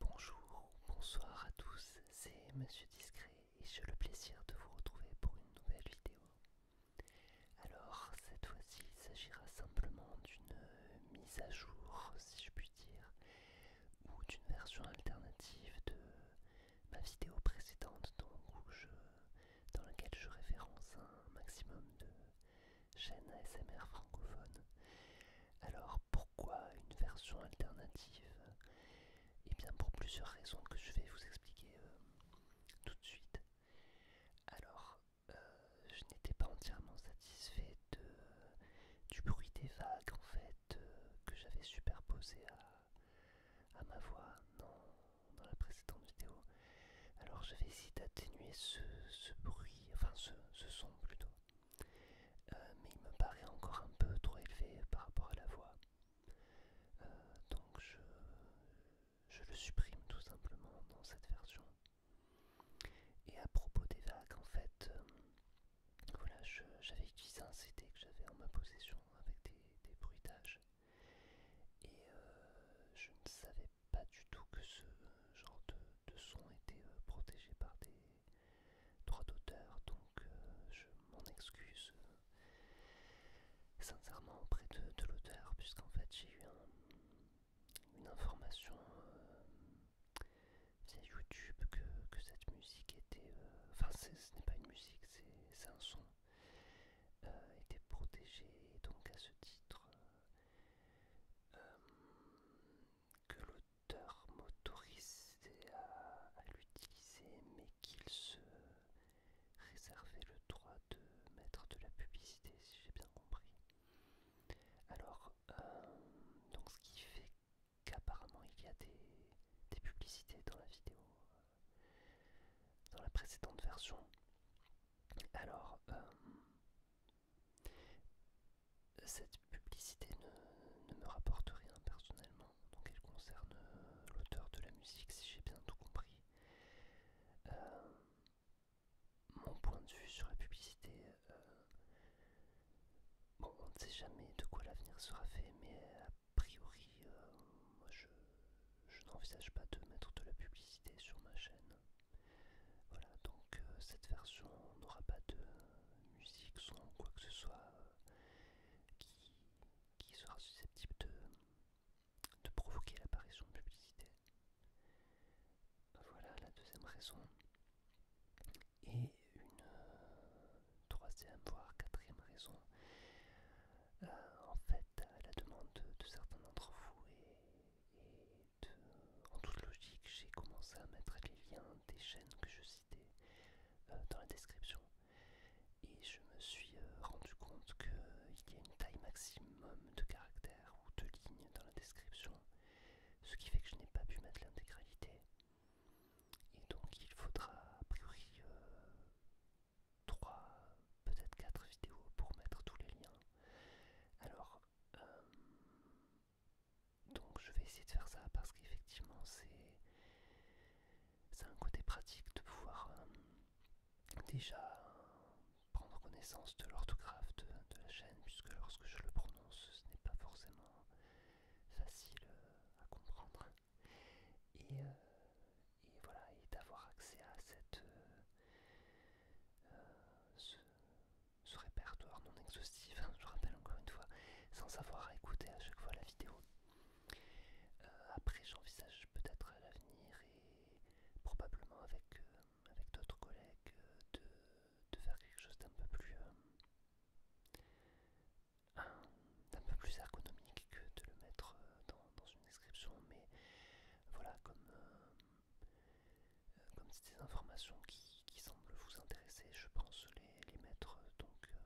Bonjour bonsoir à tous, c'est Monsieur Discret et j'ai le plaisir de vous retrouver pour une nouvelle vidéo. Alors cette fois-ci il s'agira simplement d'une euh, mise à jour si je puis dire ou d'une version alternative de ma vidéo précédente dans laquelle je référence un maximum de chaîne ASMR francophone. Alors pourquoi une version alternative Eh bien pour plusieurs raisons que je vais vous expliquer euh, tout de suite. Alors euh, je n'étais pas entièrement satisfait de, du bruit des vagues en fait euh, que j'avais superposé à, ma voix dans la précédente vidéo. Alors je vais essayer d'atténuer ce, bruit, enfin ce, son plutôt. Euh, mais il me paraît encore un peu trop élevé par rapport à la voix. Euh, donc je, le supprime tout simplement dans cette version. Et à propos des vagues, en fait, euh, voilà, j'avais utilisé un CD que j'avais en ma possession avec des, bruitages. Et je ne savais pas du tout que ce genre de, son était euh, protégé par des droits d'auteur, donc euh, je m'en excuse euh, sincèrement auprès de, l'auteur, puisqu'en fait j'ai eu une information via YouTube que, cette musique était... Enfin, ce n'est pas une musique, c'est un son. était protégé, donc à ce titre, euh, que l'auteur m'autorisait à, l'utiliser, mais qu'il se réservait le droit de mettre de la publicité, si j'ai bien compris. Alors, euh, donc ce qui fait qu'apparemment il y a des, publicités dans la vidéo, euh, dans la précédente version. Alors, cette publicité ne, me rapporte rien personnellement, donc elle concerne euh, l'auteur de la musique si j'ai bien tout compris. Euh, mon point de vue sur la publicité, euh, bon, on ne sait jamais de quoi l'avenir sera fait, mais a priori, moi je n'envisage pas de mettre de la publicité sur ma chaîne. Voilà, donc euh, cette version n'aura pas de musique, son, quoi que ce soit euh, qui, sera susceptible de, provoquer l'apparition de publicité. Voilà la deuxième raison. Et une euh, troisième, voire quatrième raison. en fait, à la demande de, certains d'entre vous en toute logique, j'ai commencé à mettre les liens des chaînes que je citais euh, dans la description. Et je me suis euh, rendu compte qu'il y a une taille maximum de caractères ou de lignes dans la description, ce qui fait que je n'ai pas pu mettre l'intégralité. Et donc il faudra a priori 3 euh, peut-être 4 vidéos pour mettre tous les liens. Alors, euh, donc je vais essayer de faire ça parce qu'effectivement c'est c'est un côté pratique de pouvoir euh, déjà prendre connaissance de l'orthographe de, la chaîne puisque lorsque je le prononce ce n'est pas forcément facile euh, à comprendre. Et, voilà, et d'avoir accès à cette... Euh, ce, répertoire non exhaustif, hein, je rappelle encore une fois, sans avoir à écouter à chaque fois la vidéo. Euh, après, j'envisage peut-être à l'avenir et probablement avec, euh, d'autres collègues de, faire quelque chose d'un peu plus. d'un peu plus ergonomique que de le mettre dans, une description mais voilà comme euh, comme c'est des informations qui, semblent vous intéresser, je pense les, mettre euh, donc euh,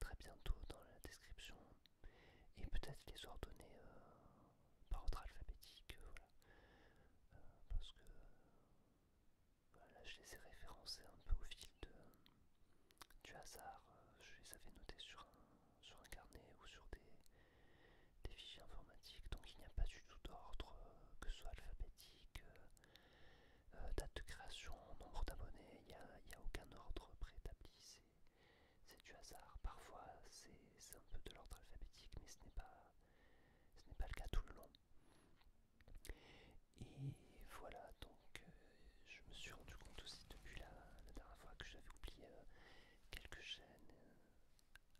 très bientôt dans la description et peut-être les ordonner par ordre alphabétique, parce que là, je les ai référencés un peu au fil du hasard, je les avais notés sur un sur un carnet ou sur des, fichiers informatiques. Donc il n'y a pas du tout d'ordre, euh, que ce soit alphabétique, euh, euh, date de création, nombre d'abonnés, il n'y a, aucun ordre préétabli. C'est du hasard. Parfois c'est un peu de l'ordre alphabétique, mais ce n'est pas, ce pas le cas tout le long. Et voilà, donc je me suis rendu compte aussi depuis la, dernière fois que j'avais oublié quelques chaînes.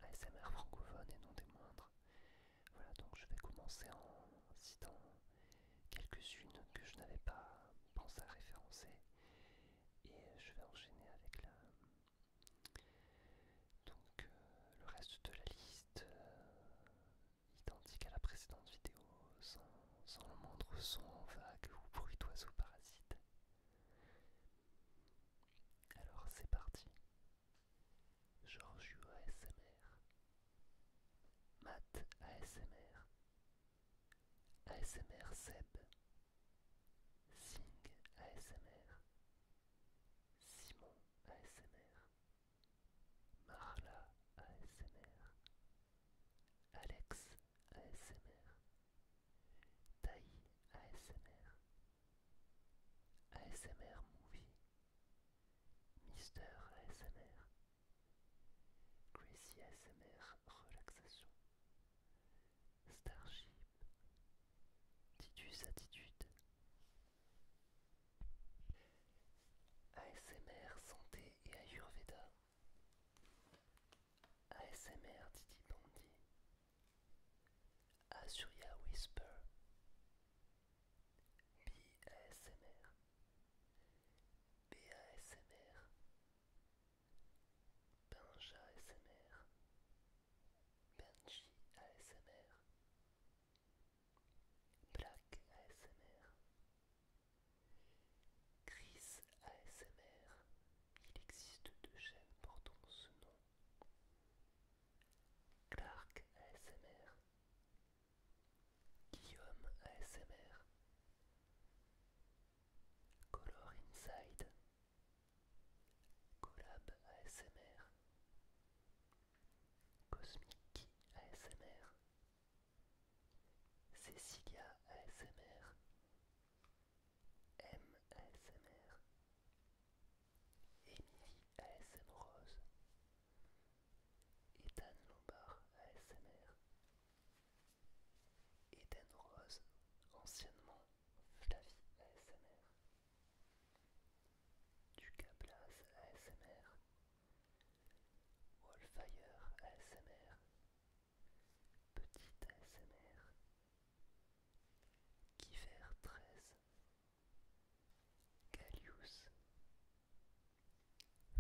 ASMR francophone et non des moindres. Voilà, donc je vais commencer en citant quelques-unes que je n'avais pas pensé à référencer et je vais enchaîner avec la donc euh, le reste de la liste euh, identique à la précédente vidéo sans, le moindre son vague ou bruit d'oiseau parasite alors c'est parti. Georges ASMR. Matt ASMR. ASMR Seb. Sing ASMR. Simon ASMR. Marla ASMR. Alex ASMR, Taï ASMR, ASMR Movie, Mister ASMR, Gracie ASMR Relaxation, Starship, Titus Attitude, ASMR Santé et Ayurveda. ASMR Didi Bondi Asuria Whisper, B ASMR B ASMR, Benji ASMR, Black ASMR, Chris ASMR, il existe deux chaînes portant ce nom. Clark ASMR, Guillaume ASMR, Color Inside, Collab ASMR, Cosmic ASMR, Cecilia ASMR, M.S.M.R. Émilie ASM Rose, Ethan Lombard ASMR, Eden Rose, anciennement Flavie ASMR, Ducablas ASMR, Wallfire ASMR, Petite ASMR Kiver 13 Galius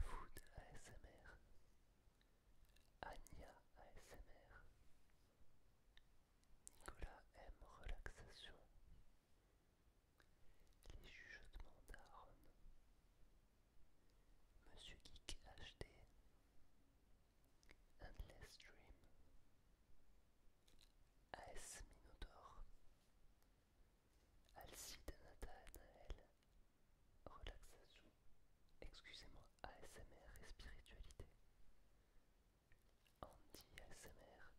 Food ASMR Anya ASMR Nicolas M Relaxation Les Jugements d'Aaron Monsieur Geek HD Endless Dream, AS Minotaur, Alcide Nathanael, Relaxation, excusez-moi, ASMR et spiritualité, Andy ASMR,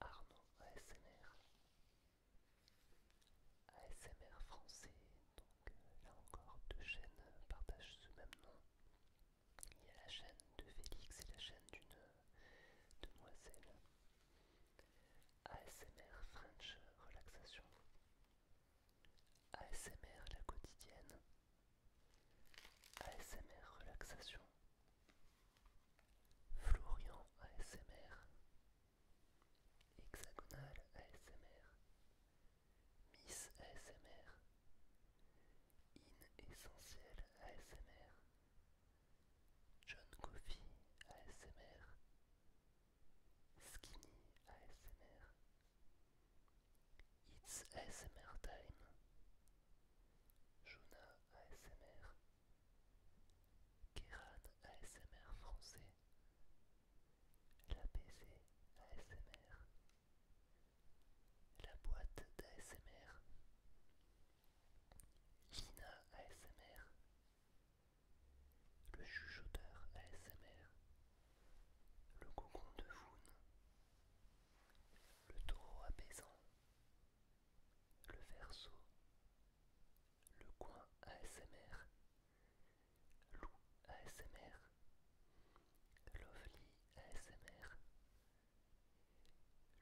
Arnaud ASMR, ASMR français là encore, deux chaînes partagent ce même nom. Il y a la chaîne de Félix et la chaîne d'une demoiselle. ASMR French Relaxation. ASMR La Quotidienne. ASMR Relaxation. Florian ASMR. Hexagonal ASMR. Miss ASMR, In Essentiel ASMR, John Coffee ASMR, Skinny ASMR, It's ASMR Time, Jonah ASMR, Keran ASMR français, la PC ASMR, la boîte d'ASMR, Lina ASMR, le chuchoteur ASMR, le cocon de Voun, le taureau apaisant, le verso, le coin ASMR Lou ASMR, Lovely ASMR,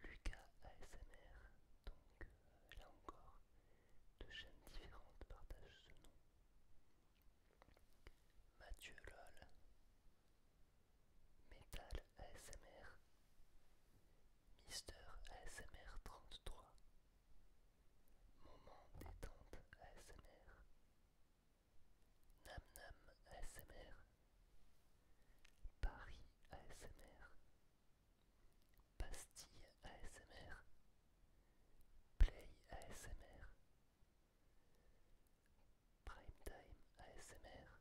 Lucas ASMR, donc euh, là encore, deux chaînes différentes partagent ce nom. Mathieu LOL, Metal ASMR, Mister ASMR 33 Moment détente ASMR. Nam Nam ASMR. Paris ASMR. Pastille ASMR. Play ASMR. Primetime ASMR.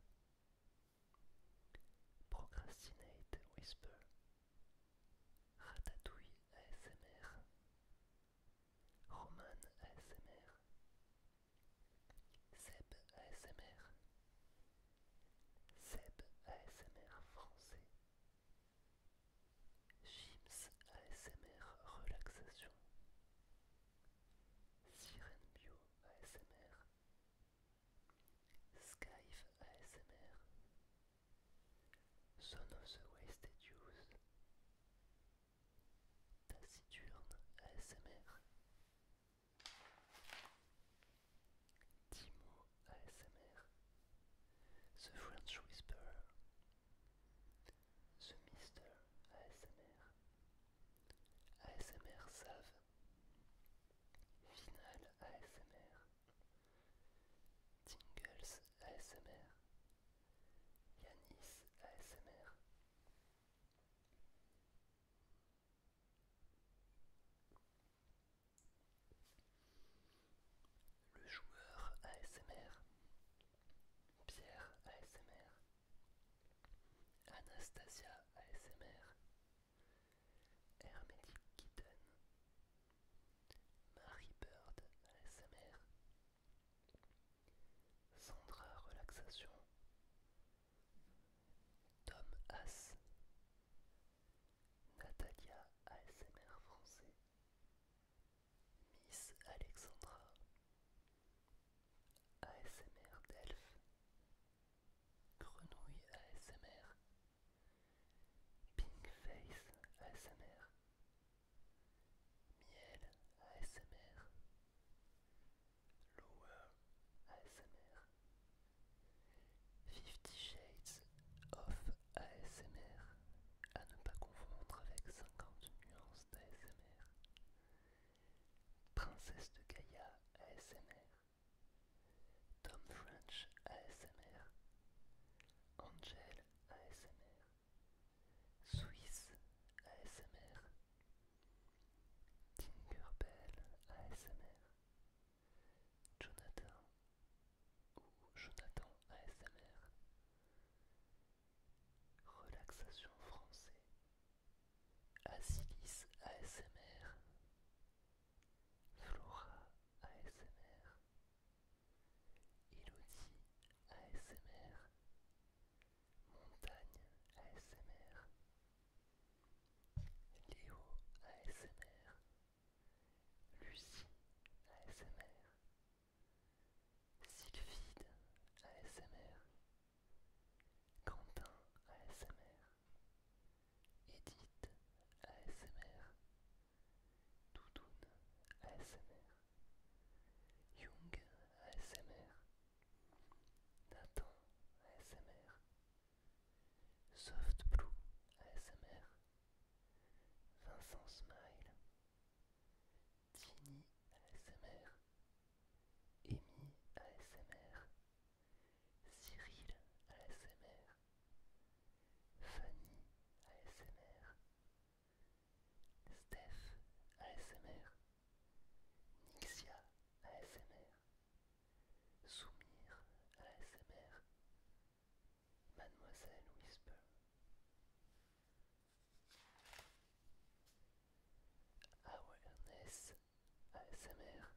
Procrastinate Whisper Ratatouille ASMR, Roman ASMR, Seb ASMR, Seb ASMR français, jims ASMR relaxation, Sirène Bio ASMR, Skype ASMR, son of the Wasted Youth, Taciturne ASMR, Timo ASMR, The French Whisperer, The Mister ASMR, ASMR Save, Final ASMR, Tingles ASMR, Yanis ASMR. Le joueur ASMR, Pierre ASMR, Anastasia ASMR, hermédic Kitten, Marie Bird ASMR Sandra Relaxation Tom As Natalia ASMR français Miss Alexandra ASMR Delph Grenouille ASMR Pinkface ASMR, Miel ASMR, Lower ASMR, Fifty Shades of ASMR, à ne pas confondre avec 50 nuances d'ASMR, Princesse de Gaïa ASMR, Tom French ASMR, Angel ASMR, Swiss ASMR, Tinkerbell ASMR, Jonathan ou Jonathan ASMR, Relaxation français, Asilis ASMR, Flora ASMR, Elodie ASMR, Montagne ASMR, Léo ASMR, Lucie ASMR, Sylvie ASMR, Quentin ASMR, Edith ASMR, Doudoune ASMR, Jung ASMR, Nathan ASMR, Soft Blue ASMR, Vincent Smile, Tini ASMR, Amy ASMR, Cyril ASMR, Fanny ASMR, Steph ASMR, Nixia ASMR, Soumir ASMR, Mademoiselle Whisper. Awareness ASMR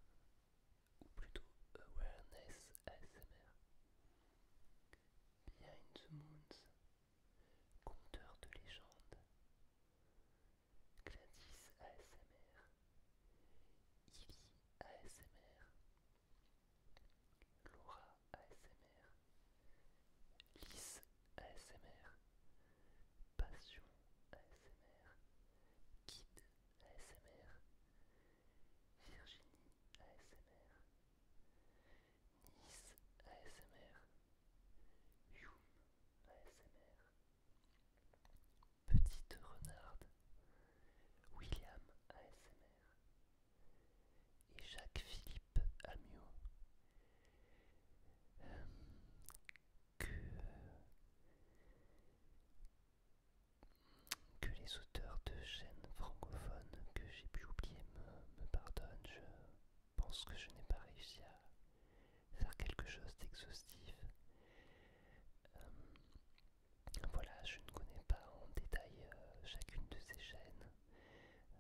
ou plutôt Awareness ASMR. Behind the Moons, Conteur de légendes, Gladys ASMR, Ivy ASMR, Laura ASMR, Lys ASMR, Passion ASMR, Kid ASMR, Virginie ASMR, Nice ASMR, Youm ASMR, Petite Renarde, William ASMR et Jacques-Philippe Amio. Euh, que, que les auteurs de chaînes francophones que j'ai pu oublier me, pardonnent. Je pense que je n'ai pas réussi à faire quelque chose d'exhaustif. Euh, voilà, je ne connais pas en détail euh, chacune de ces chaînes,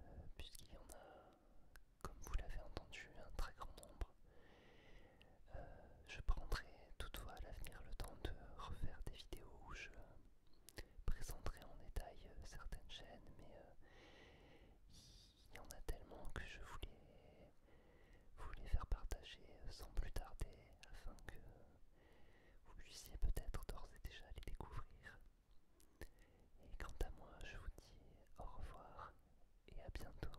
euh, puisqu'il y en a, comme vous l'avez entendu, un très grand nombre. je prendrai toutefois à l'avenir le temps de refaire des vidéos où je présenterai en détail euh, certaines chaînes, mais euh, il y, y en a tellement que je voulais vous les faire partager euh, sans plus tarder afin que vous puissiez peut-être d'ores et déjà les découvrir. Et quant à moi, je vous dis au revoir et à bientôt.